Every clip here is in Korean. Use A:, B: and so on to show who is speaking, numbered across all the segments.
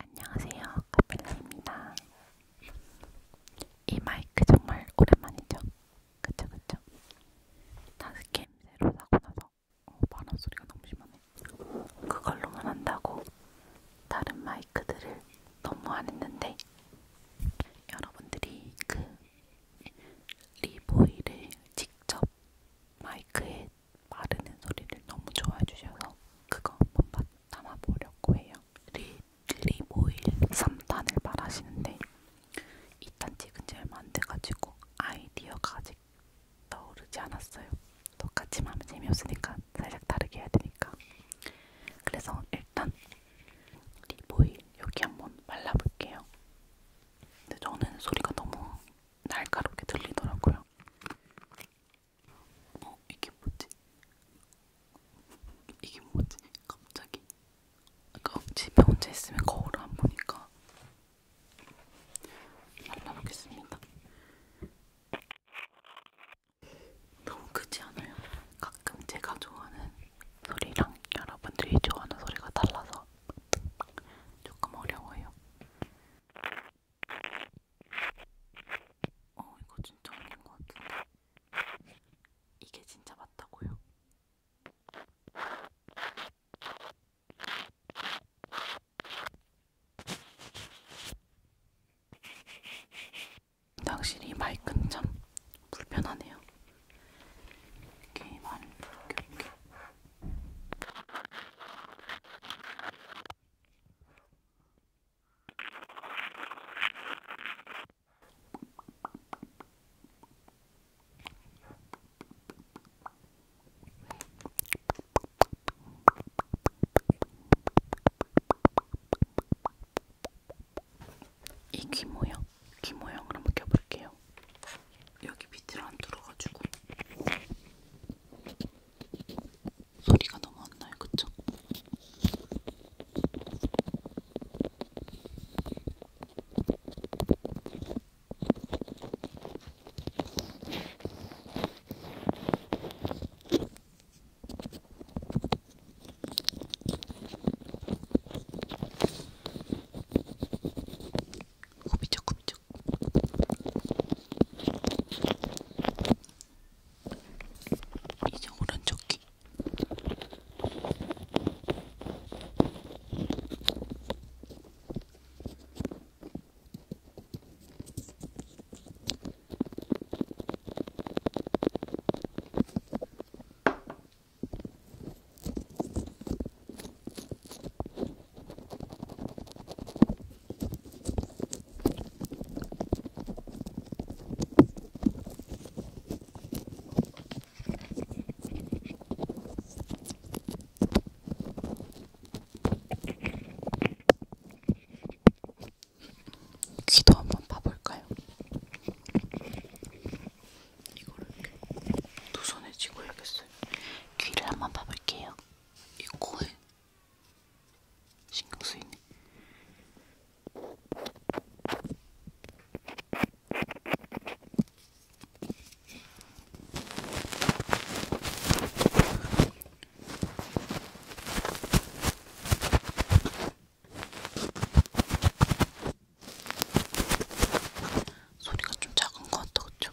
A: 안녕하세요. 카필라입니다. 이 마이크 정말 오랜만이죠? 그쵸 그쵸? 다스캠 새로 사고 나서 어, 바람 소리가 너무 심하네. 그걸로만 한다고 다른 마이크들을 너무 안 했는데 여러분들이 그 리보이를 직접 마이크에 마르는 소리를 너무 좋아해 주셔서 그거 한번 담아보려고 해요. 릴리모일 3탄을 말하시는데 2탄 찍은 지 얼마 안 돼가지고 아이디어가 아직 떠오르지 않았어요. 똑같이 하면 재미없으니까 살짝 다르게 해야 되니까. 그래서 일단 리보일 여기 한번 발라볼게요. 근데 저는 소리가 너무 날카롭게 들리더라고요. 어? 이게 뭐지? 이게 뭐지? 갑자기 그러니까 집에 혼자 있으면 거울을 안 보니까 발라보겠습니다. 너무 크지 않아요? 가끔 제가 좋아하는 소리랑 여러분들이 좋아하는 소리가 달라서 조금 어려워요. 어, 이거 진짜 아닌 것 같은데. 이게 진짜 맞다고요? 확실히 마이크는 참 불편하네요. 이렇게 많이 이렇게, 이렇게. 이귀 모양, 귀 모양을 한번 껴볼게요. 여기 밑을 안 뚫어가지고. 소리가 너무 안 나요, 그쵸? 구비적 구비적 이제 오른쪽 귀. 귀도 한번 봐볼까요? 이거를 두 손에 쥐고 해야겠어요. 귀를 한번 봐볼게요. 이 코에 신경 쓰이네. 소리가 좀 작은 것 같다, 그쵸?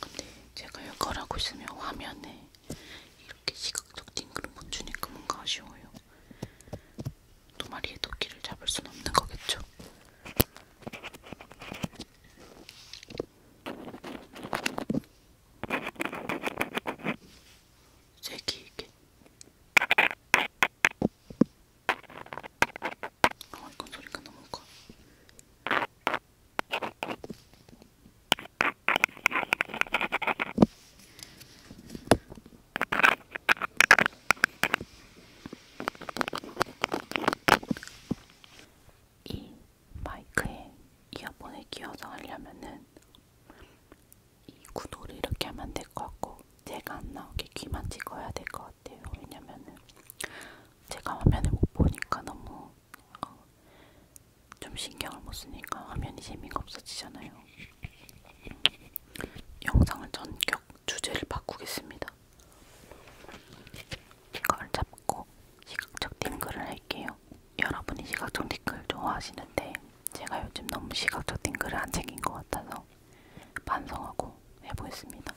A: 근데 제가 이걸 하고 있으면 화면에 이렇게 시각적 띵그름 못 주니까 뭔가 아쉬워요. 도마리의 도끼를 잡을 순 없는 거겠죠. 세기 이게 아 이건 소리가 너무 커. 이 마이크에 이어폰을 끼워서 하려면은 이 구도를 이렇게 하면 될 것 같고 제가 안 나오게 귀만 찍어야 될것 같아요. 왜냐면은 제가 화면을 못 보니까 너무 어, 좀 신경을 못 쓰니까 화면이 재미가 없어지잖아요. 영상을 전격 주제를 바꾸겠습니다. 이걸 잡고 시각적 띵글을 할게요. 여러분이 시각적 띵글 좋아하시는데 제가 요즘 너무 시각적 띵글을 안 챙긴 것 같아서 반성하고 해보겠습니다.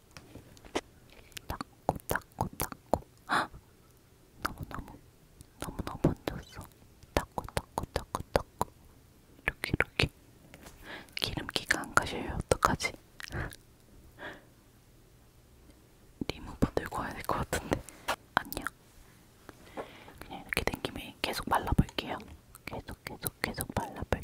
A: 닦고 닦고 닦고 헉! 너무너무 너무너무 번졌어 닦고 닦고 닦고 닦고 이렇게 이렇게 기름기가 안 가시면 어떡하지? 리무버 들고 와야 될 것 같은데 아니야 그냥 이렇게 된 김에 계속 발라볼게요 계속 계속 계속 발라볼게요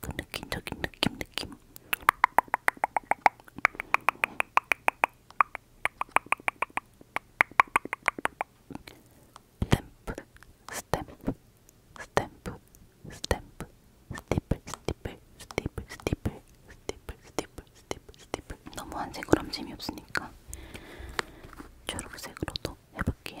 A: 그 느낌적인 느낌 느낌 스탬프 스탬프 스탬프 스탬프 스티플 스티플 스티플 스티플 스티플 스티플 스티플 스티플 너무 한색으로 하면 재미없으니까 초록색으로도 해볼게요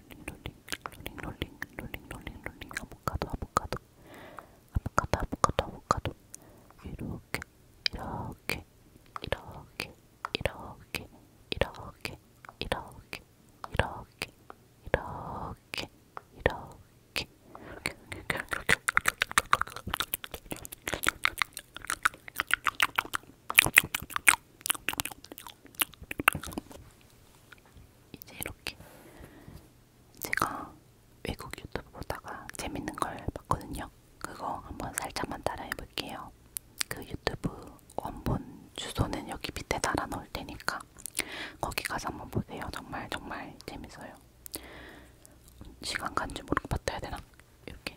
A: 롤링 롤링 롤링 롤링 롤링 아보카도 아보카도 아보카도 아보카도 아보카도 이렇게 이렇게 이렇게 이렇게 이렇게 이렇게 이렇게 이렇게 이렇게 이렇게 이렇게 이렇게 이제 이렇게 제가 외국 유튜브 보다가 재밌는 걸 봤거든요. 그거 한번 살짝만 따라해 볼게요. 그 유튜브 원본 주소는 여기 밑에 달아 놓을 테니까 거기 가서 한번 보세요. 정말 정말 재밌어요. 시간 간지 모르고 받아야 되나? 이렇게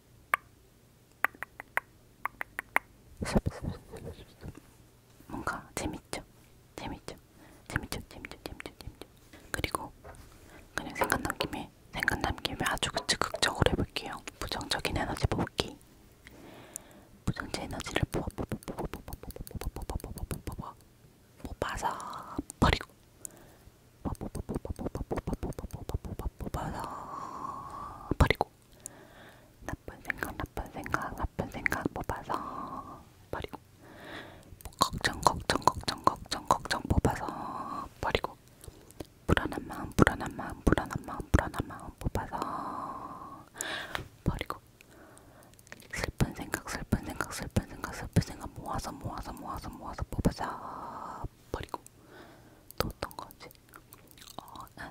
A: 뭔가 재밌죠? 재밌죠? 재밌죠? 재밌죠? 재밌죠? 재밌죠? 그리고 그냥 생각난 김에 생각난 김에 아주 즉극적으로 해볼게요. 부정적인 에너지 뽑기. 부정적 에너지를 뽑아 뽑아 뽑아 뽑아 뽑아 뽑아 뽑아 뽑아 뽑아 뽑아 뽑아서 버리고 뽑아 뽑아 뽑아 뽑아 뽑아 뽑아 뽑아 뽑아서 버리고 나쁜 생각, 나쁜 생각, 나쁜 생각 뽑아서 버리고 뭐 걱정, 걱정, 걱정, 걱정, 걱정 뽑아서 버리고 불안한 마음, 불안한 마음, 불안한 마음, 불안한 마음 뽑아서 버리고 슬픈 생각, 슬픈 생각, 슬픈 생각, 슬픈 생각 모아서 모아서 모아서 모아서 뽑아서 버리고 또 어떤 거지? 어, 음.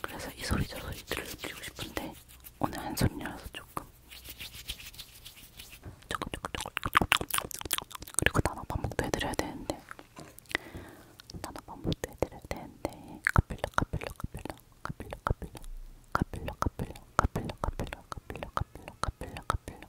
A: 그래서 이 소리 저 소리 들려드리고 싶은데 오늘 한 소리라서 조금 조금 조금 조금 그리고 단어 반복도 해드려야 되는데 단어 반복도 해드려야 되는데 카필러 카필러 카필러 카필러 카필러 카필러 카필러 카필러 카필러 카필러 카필러 카필러 카필러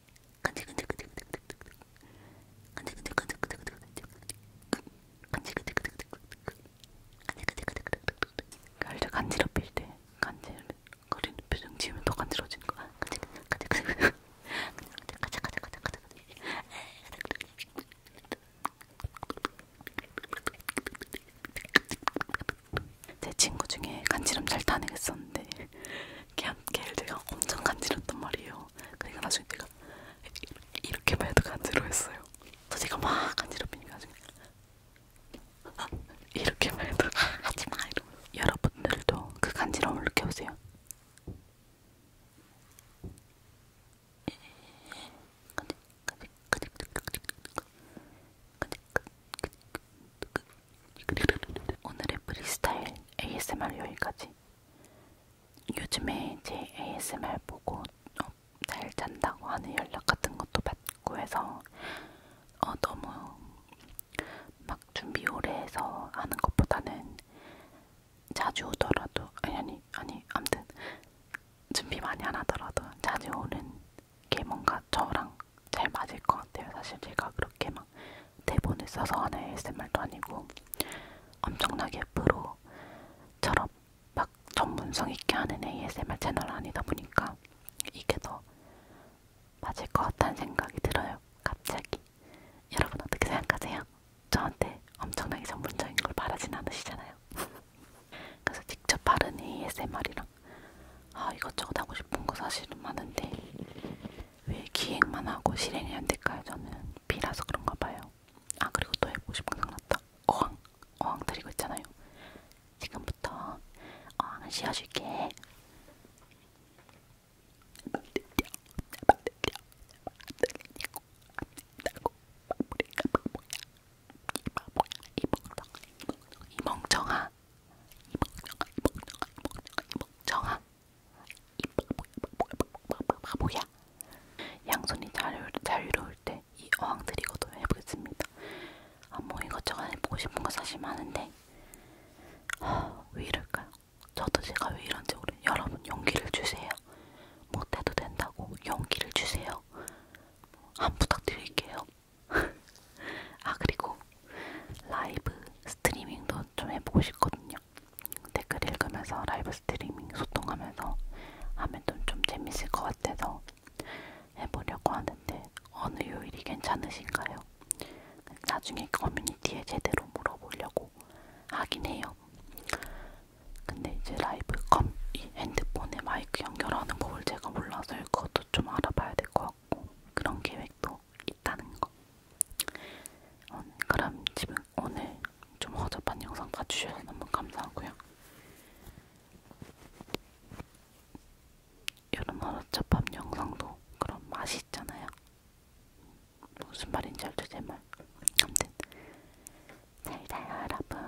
A: 간질 아, 간지럽힐 때 간질 거리는 표정 지으면 더 간지러지는 거야. 간질간질간질 제 친구 중에 간지럼 잘 타는 애 있었는데 걔를 제가 엄청 간지럽단 말이에요. 그러니까 나중에 제가 이렇게 말도 간지러웠어요. 그래서 제가 막 간지럽히니까 나중에 이렇게 말도 하지마 이러면서 여러분들도 그 간지러움을 느껴보세요. 오늘의 프리스타일 ASMR 여기까지. 요즘에 제 ASMR 보고 어, 잘 잔다고 하는 연락 같은 것도 받고 해서 어, 너무 막 준비 오래 해서 하는 것보다는 자주 오더라도 아니 아니 아니 아무튼 준비 많이 안 하더라도 자주 오는 게 뭔가 저랑 잘 맞을 것 같아요. 사실 제가 그렇게 막 대본을 써서 하는 ASMR도 아니고 엄청나게 프로처럼 막 전문성 있게 하는 ASMR 채널 아니다 보니까 이게 더 맞을 것 같다는 생각이 들어요. 갑자기 여러분 어떻게 생각하세요? 저한테 엄청나게 전문적인 걸 바라진 않으시잖아요. 그래서 직접 바르는 ASMR이랑 아 이것저것 하고 싶은 거 사실은 많은데 왜 기획만 하고 실행이 안 될까요? 저는 B라서 그런가 봐요. 아 그리고 또 해보고 싶은 생각났다. 어항! 어항 드리고 있잖아요. 지금부터 어항을 씌워줄게. 이 멍청아 정아 바보야 양손이 자유, 자유로울 때이 어항 트리거도 해보겠습니다 아뭐 이것저것 해보고 싶은 거 사실 많은데 하, 왜 이럴까요? 저도 제가 왜 이런지 모르 여러분 용기를 주세요 못해도 된다고 용기를 주세요 한 부탁드릴게요 아 그리고 라이브 스트리밍도 좀 해보고 싶거든요. 댓글 읽으면서 라이브 스트리밍 소통하면서 하면 좀 재밌을 것 같아서 해보려고 하는데 어느 요일이 괜찮으신가요? 나중에 커뮤니티에 제대로 물어보려고 하긴 해요. 근데 이제 라이브 컴이 핸드폰에 마이크 연결하는 법을 제가 몰라서 그것도 좀 알아봐야 될 것 같고 그런 계획도 수도 있다는 거. 어, 그럼 지금 오늘 좀 허접한 영상 봐주셔서 너무 감사하고요. 이런 허접한 영상도 그런 맛이 있잖아요. 무슨 말인지 알죠, 제 말. 아무튼 잘 자요, 여러분.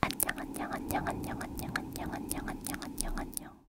A: 안녕, 안녕, 안녕, 안녕, 안녕, 안녕, 안녕, 안녕, 안녕, 안녕.